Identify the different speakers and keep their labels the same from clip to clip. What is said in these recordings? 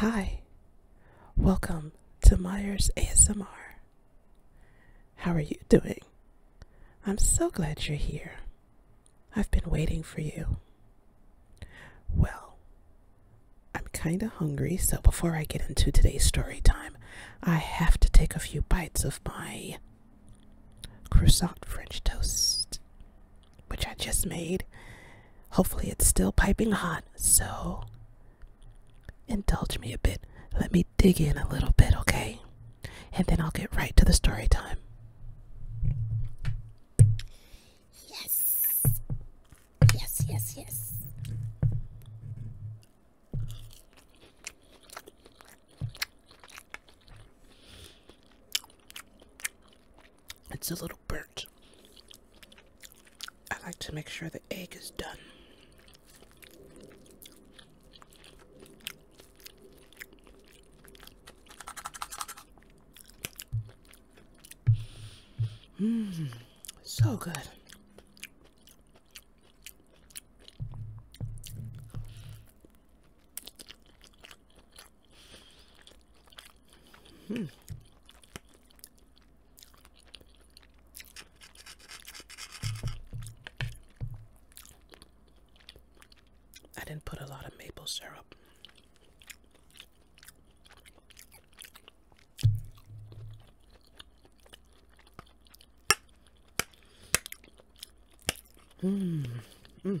Speaker 1: Hi, welcome to Myers ASMR. How are you doing? I'm so glad you're here. I've been waiting for you. Well, I'm kind of hungry, so before I get into today's story time, I have to take a few bites of my croissant French toast which I just made. Hopefully, it's still piping hot, so indulge me a bit. Let me dig in a little bit, okay? And then I'll get right to the story time. Yes. Yes, yes, yes. It's a little burnt. I like to make sure the egg is done. Mmm, so good. Hmm. I didn't put a lot of maple syrup. Mm. Mm.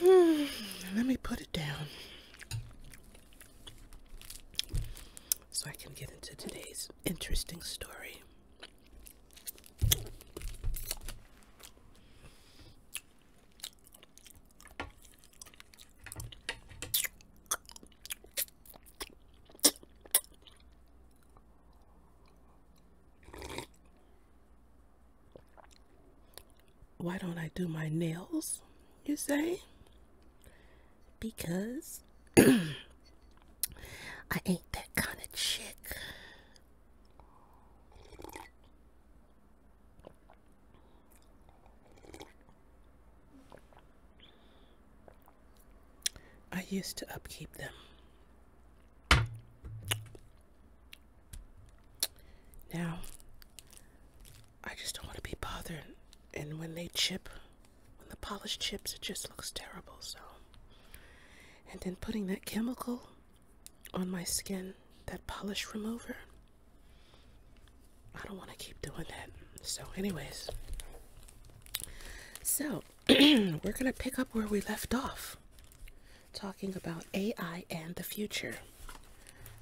Speaker 1: Hmm, let me put it down so I can get into today's interesting story. Why don't I do my nails, you say? Because I ain't that kind of chick. I used to upkeep them. Now, I just don't want to be bothered. And when they chip, when the polish chips, it just looks terrible. So, and then putting that chemical on my skin, that polish remover, I don't want to keep doing that. So, anyways, so we're going to pick up where we left off, talking about AI and the future.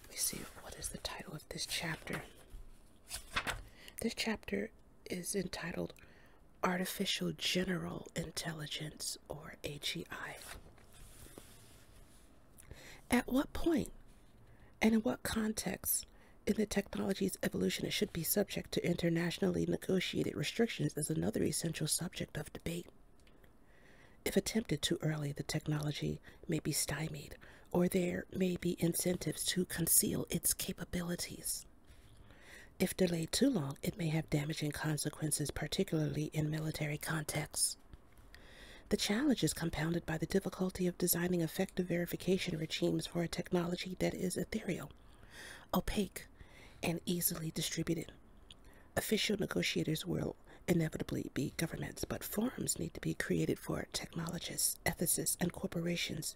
Speaker 1: Let me see what is the title of this chapter. This chapter is entitled Artificial General Intelligence, or AGI. At what point and in what context in the technology's evolution it should be subject to internationally negotiated restrictions is another essential subject of debate. If attempted too early, the technology may be stymied, or there may be incentives to conceal its capabilities. If delayed too long, it may have damaging consequences, particularly in military contexts. The challenge is compounded by the difficulty of designing effective verification regimes for a technology that is ethereal, opaque, and easily distributed. Official negotiators will inevitably be governments, but forums need to be created for technologists, ethicists, and corporations.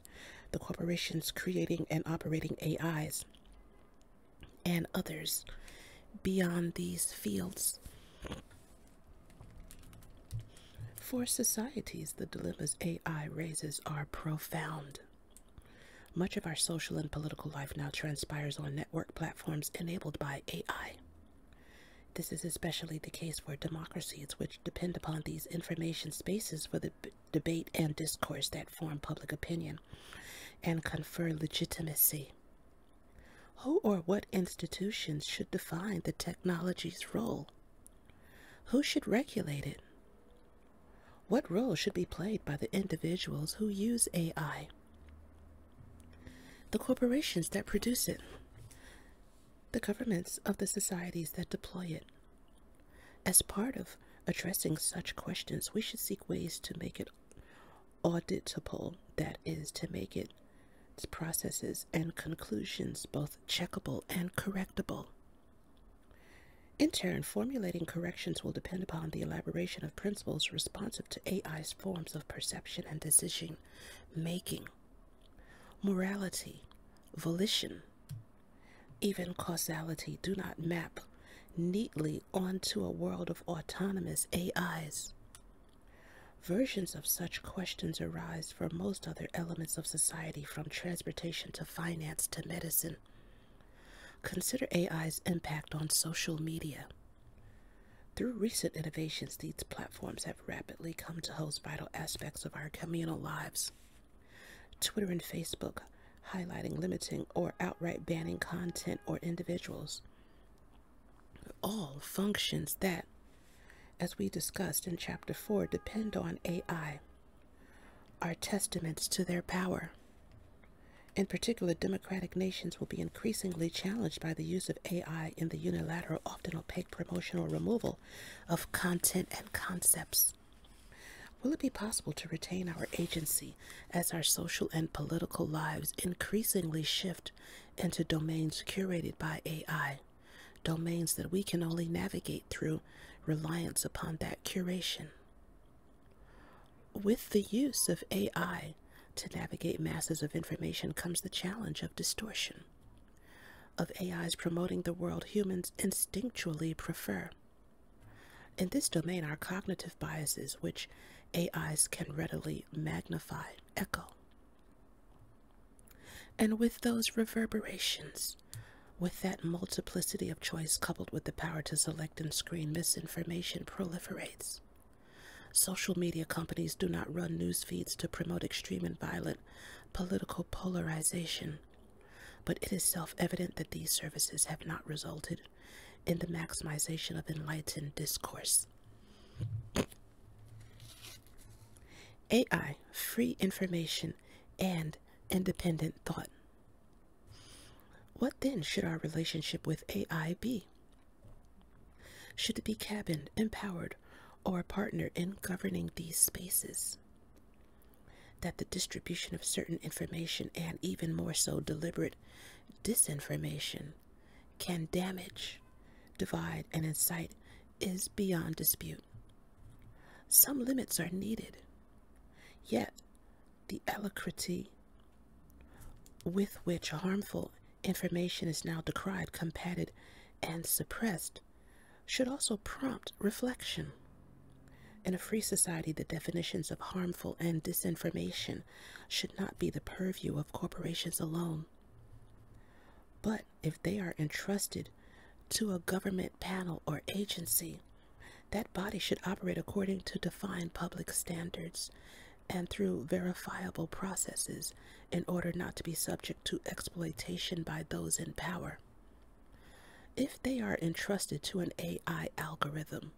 Speaker 1: The corporations creating and operating AIs and others beyond these fields. For societies, the dilemmas AI raises are profound. Much of our social and political life now transpires on network platforms enabled by AI. This is especially the case for democracies, which depend upon these information spaces for the debate and discourse that form public opinion and confer legitimacy. Who or what institutions should define the technology's role? Who should regulate it? What role should be played by the individuals who use AI? The corporations that produce it, the governments of the societies that deploy it. As part of addressing such questions, we should seek ways to make it auditable, that is, to make its processes and conclusions both checkable and correctable. In turn, formulating corrections will depend upon the elaboration of principles responsive to AI's forms of perception and decision making, morality, volition, even causality do not map neatly onto a world of autonomous AIs. Versions of such questions arise for most other elements of society, from transportation to finance to medicine. Consider AI's impact on social media. Through recent innovations, these platforms have rapidly come to host vital aspects of our communal lives. Twitter and Facebook highlighting, limiting, or outright banning content or individuals. All functions that, as we discussed in Chapter 4, depend on AI are testaments to their power. In particular, democratic nations will be increasingly challenged by the use of AI in the unilateral, often opaque promotion or removal of content and concepts. Will it be possible to retain our agency as our social and political lives increasingly shift into domains curated by AI, domains that we can only navigate through reliance upon that curation. With the use of AI to navigate masses of information comes the challenge of distortion, of AIs promoting the world humans instinctually prefer. In this domain our cognitive biases, which AIs can readily magnify, echo. And with those reverberations, with that multiplicity of choice coupled with the power to select and screen, misinformation proliferates. Social media companies do not run news feeds to promote extreme and violent political polarization, but it is self evident that these services have not resulted in the maximization of enlightened discourse. AI, free information and independent thought. What then should our relationship with AI be? Should it be cabined, empowered, or a partner in governing these spaces? That the distribution of certain information and even more so deliberate disinformation can damage, divide, and incite is beyond dispute. Some limits are needed, yet, the alacrity with which harmful information is now decried, combated, and suppressed should also prompt reflection. In a free society, the definitions of harmful and disinformation should not be the purview of corporations alone, but if they are entrusted to a government panel or agency, that body should operate according to defined public standards and through verifiable processes in order not to be subject to exploitation by those in power. If they are entrusted to an AI algorithm,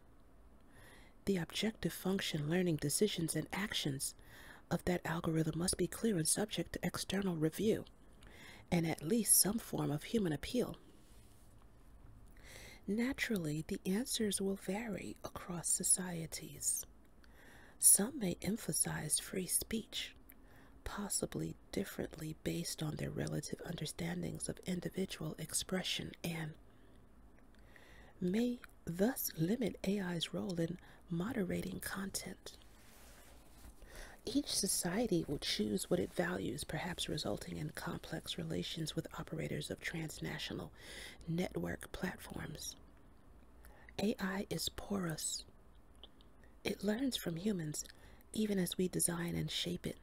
Speaker 1: the objective function, learning, decisions, and actions of that algorithm must be clear and subject to external review and at least some form of human appeal. Naturally, the answers will vary across societies. Some may emphasize free speech, possibly differently based on their relative understandings of individual expression, and may thus limit AI's role in moderating content. Each society will choose what it values, perhaps resulting in complex relations with operators of transnational network platforms. AI is porous. It learns from humans even as we design and shape it.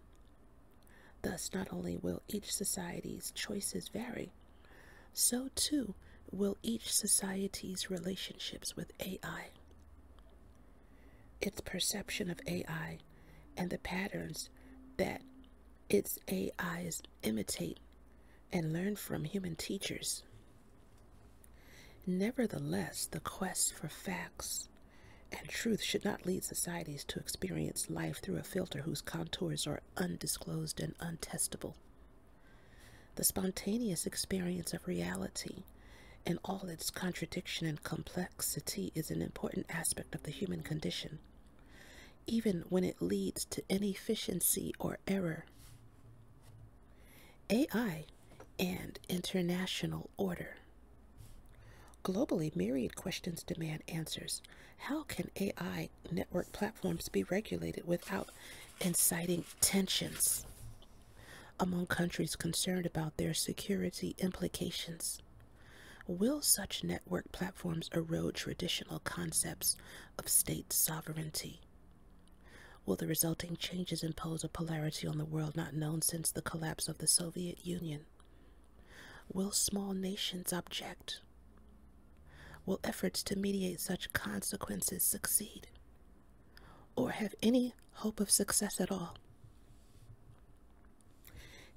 Speaker 1: Thus, not only will each society's choices vary, so too will each society's relationships with AI its perception of AI and the patterns that its AIs imitate and learn from human teachers. Nevertheless, the quest for facts and truth should not lead societies to experience life through a filter whose contours are undisclosed and untestable the spontaneous experience of reality and all its contradiction and complexity is an important aspect of the human condition, even when it leads to inefficiency or error. AI and international order. Globally, myriad questions demand answers. How can AI network platforms be regulated without inciting tensions? among countries concerned about their security implications. Will such network platforms erode traditional concepts of state sovereignty? Will the resulting changes impose a polarity on the world not known since the collapse of the Soviet Union? Will small nations object? Will efforts to mediate such consequences succeed? Or have any hope of success at all.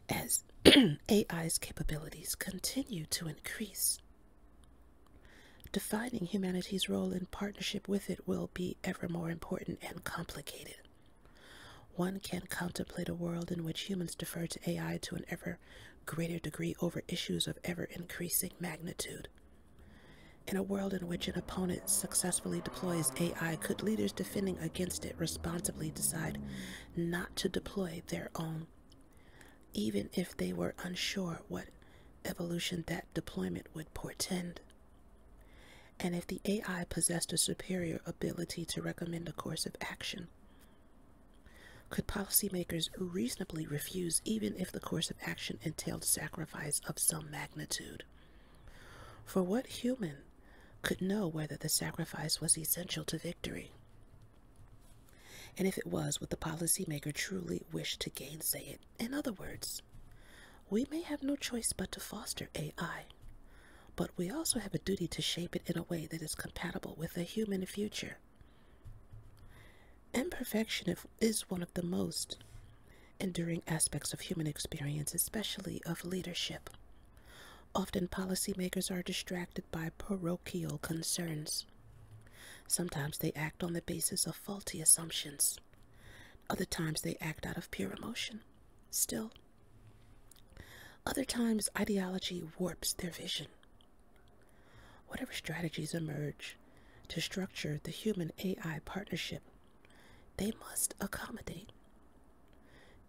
Speaker 1: As AI's capabilities continue to increase, defining humanity's role in partnership with it will be ever more important and complicated. One can contemplate a world in which humans defer to AI to an ever greater degree over issues of ever increasing magnitude, in a world in which an opponent successfully deploys AI, could leaders defending against it responsibly decide not to deploy their own, even if they were unsure what evolution that deployment would portend? And if the AI possessed a superior ability to recommend a course of action, could policymakers reasonably refuse even if the course of action entailed sacrifice of some magnitude? For what human could know whether the sacrifice was essential to victory? And if it was, would the policymaker truly wish to gainsay it? In other words, we may have no choice but to foster AI, but we also have a duty to shape it in a way that is compatible with a human future. Imperfection is one of the most enduring aspects of human experience, especially of leadership. Often, policymakers are distracted by parochial concerns. Sometimes they act on the basis of faulty assumptions. Other times they act out of pure emotion. Still, other times ideology warps their vision. Whatever strategies emerge, to structure the human AI partnership they must accommodate.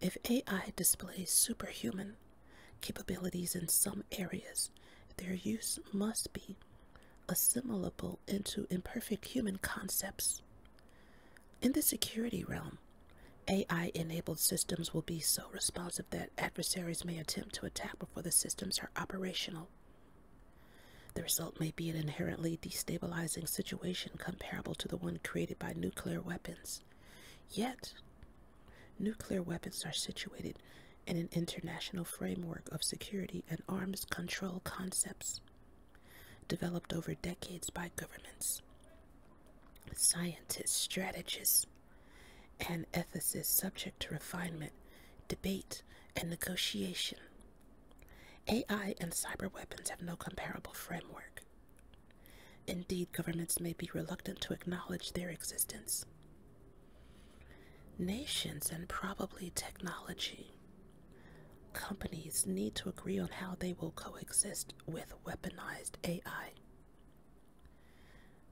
Speaker 1: If AI displays superhuman capabilities in some areas, their use must be assimilable into imperfect human concepts. In the security realm, AI enabled systems will be so responsive that adversaries may attempt to attack before the systems are operational. The result may be an inherently destabilizing situation comparable to the one created by nuclear weapons. Yet, nuclear weapons are situated in an international framework of security and arms control concepts developed over decades by governments, scientists, strategists, and ethicists subject to refinement, debate, and negotiation. AI and cyber weapons have no comparable framework. Indeed, governments may be reluctant to acknowledge their existence. Nations and probably technology companies need to agree on how they will coexist with weaponized AI.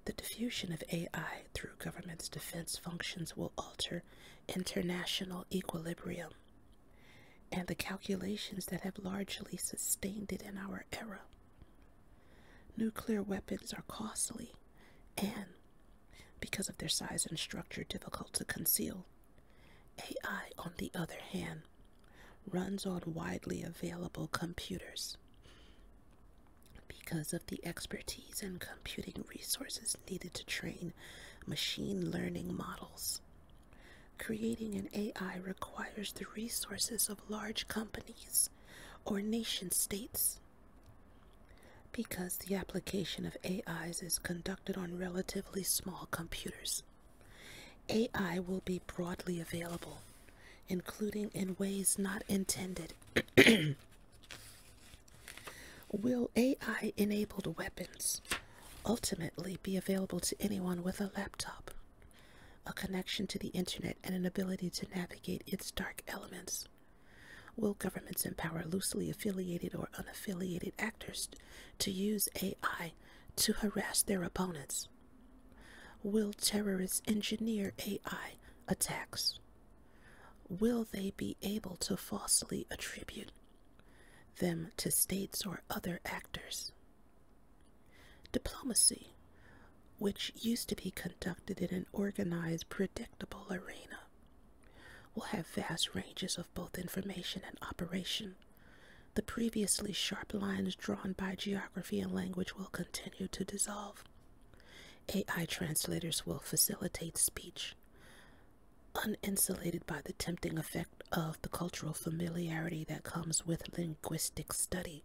Speaker 1: The diffusion of AI through government's defense functions will alter international equilibrium and the calculations that have largely sustained it in our era. Nuclear weapons are costly and, because of their size and structure, difficult to conceal. AI, on the other hand, runs on widely available computers because of the expertise and computing resources needed to train machine learning models. Creating an AI requires the resources of large companies or nation states. Because the application of AIs is conducted on relatively small computers, AI will be broadly available, including in ways not intended Will AI enabled weapons ultimately be available to anyone with a laptop, a connection to the internet, and an ability to navigate its dark elements? Will governments empower loosely affiliated or unaffiliated actors to use AI to harass their opponents? Will terrorists engineer AI attacks? Will they be able to falsely attribute them to states or other actors? Diplomacy, which used to be conducted in an organized, predictable arena, will have vast ranges of both information and operation. The previously sharp lines drawn by geography and language will continue to dissolve. AI translators will facilitate speech, Uninsulated by the tempting effect of the cultural familiarity that comes with linguistic study,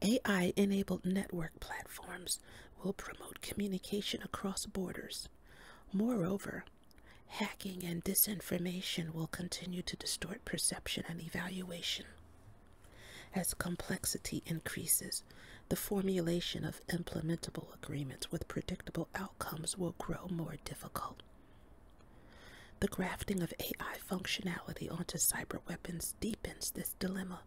Speaker 1: AI enabled network platforms will promote communication across borders. Moreover, hacking and disinformation will continue to distort perception and evaluation. As complexity increases, the formulation of implementable agreements with predictable outcomes will grow more difficult. The grafting of AI functionality onto cyber weapons deepens this dilemma.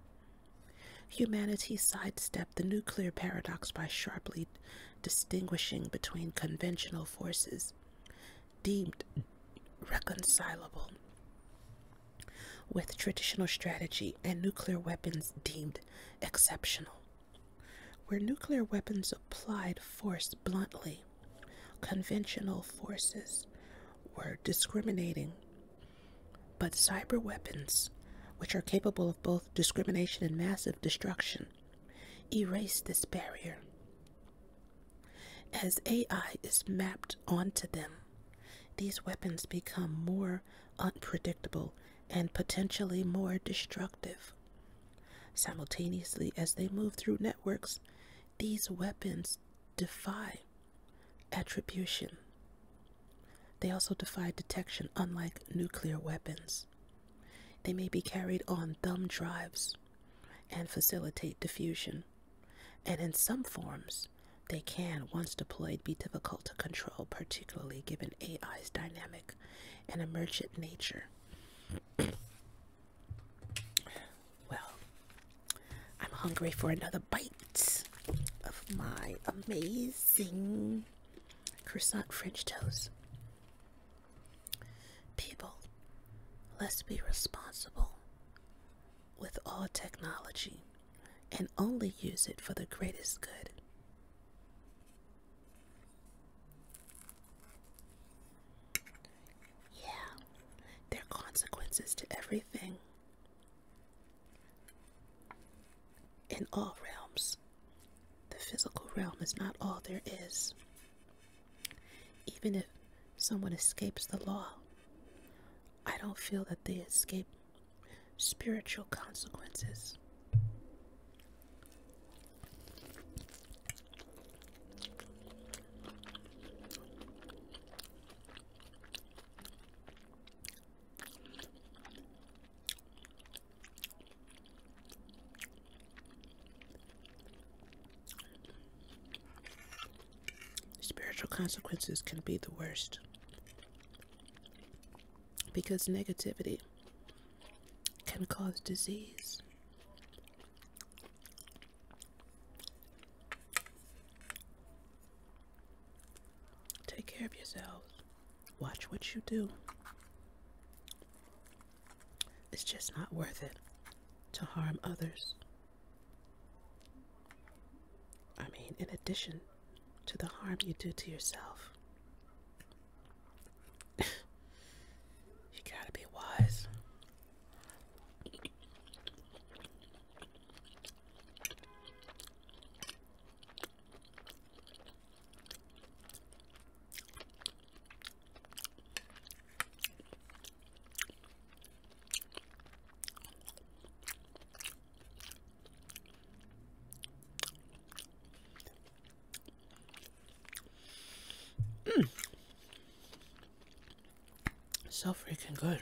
Speaker 1: Humanity sidestepped the nuclear paradox by sharply distinguishing between conventional forces deemed reconcilable with traditional strategy and nuclear weapons deemed exceptional. Where nuclear weapons applied force bluntly, conventional forces were discriminating, but cyber weapons, which are capable of both discrimination and massive destruction, erase this barrier. As AI is mapped onto them, these weapons become more unpredictable and potentially more destructive. Simultaneously, as they move through networks, these weapons defy attribution. They also defy detection, unlike nuclear weapons. They may be carried on thumb drives and facilitate diffusion and in some forms, they can, once deployed, be difficult to control, particularly given AI's dynamic and emergent nature. well, I'm hungry for another bite of my amazing croissant French toast. People, let's be responsible with all technology and only use it for the greatest good. Yeah, there are consequences to everything in all realms. The physical realm is not all there is. Even if someone escapes the law, I don't feel that they escape spiritual consequences spiritual consequences can be the worst because negativity can cause disease. Take care of yourselves. Watch what you do. It's just not worth it to harm others. I mean, in addition to the harm you do to yourself, you gotta be wise. Mmm, So freaking good.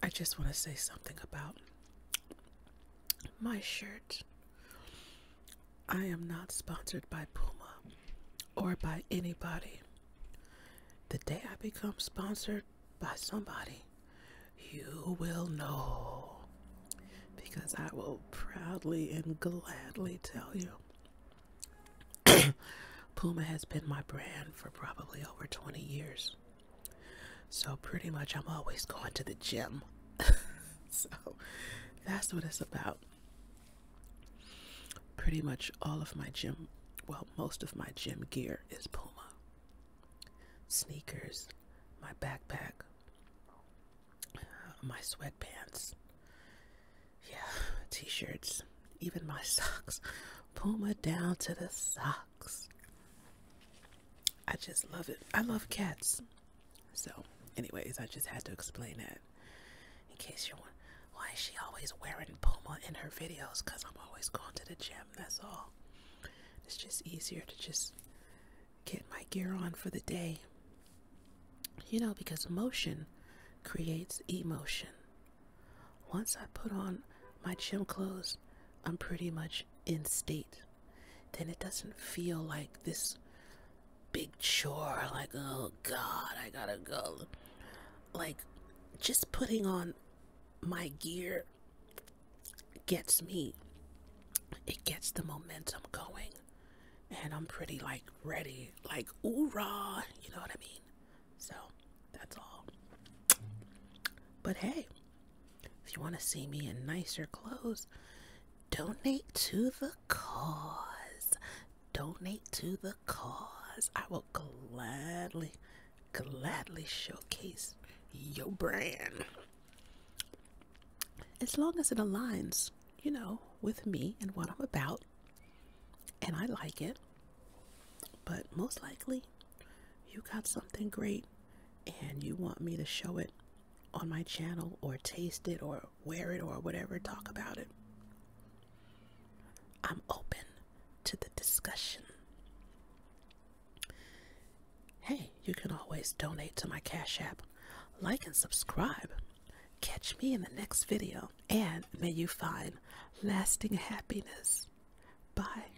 Speaker 1: I just want to say something about my shirt. I am not sponsored by Puma or by anybody. The day I become sponsored by somebody, you will know because I will proudly and gladly tell you. Puma has been my brand for probably over 20 years. So pretty much I'm always going to the gym. so that's what it's about. Pretty much all of my gym, well, most of my gym gear is Puma. Sneakers, my backpack, my sweatpants, yeah, t shirts, even my socks. Puma down to the socks. I just love it. I love cats. So, anyways, I just had to explain that in case you want. why is she always wearing Puma in her videos? Because I'm always going to the gym, that's all. It's just easier to just get my gear on for the day. You know, because motion creates emotion. Once I put on my gym clothes, I'm pretty much in state then it doesn't feel like this big chore like oh god i gotta go like just putting on my gear gets me it gets the momentum going and i'm pretty like ready like ooh rah, you know what i mean so that's all but hey if you want to see me in nicer clothes, donate to the cause. Donate to the cause. I will gladly, gladly showcase your brand. As long as it aligns, you know, with me and what I'm about, and I like it. But most likely, you got something great and you want me to show it on my channel or taste it or wear it or whatever, talk about it. I'm open to the discussion. Hey, you can always donate to my Cash App, like and subscribe. Catch me in the next video, and may you find lasting happiness. Bye.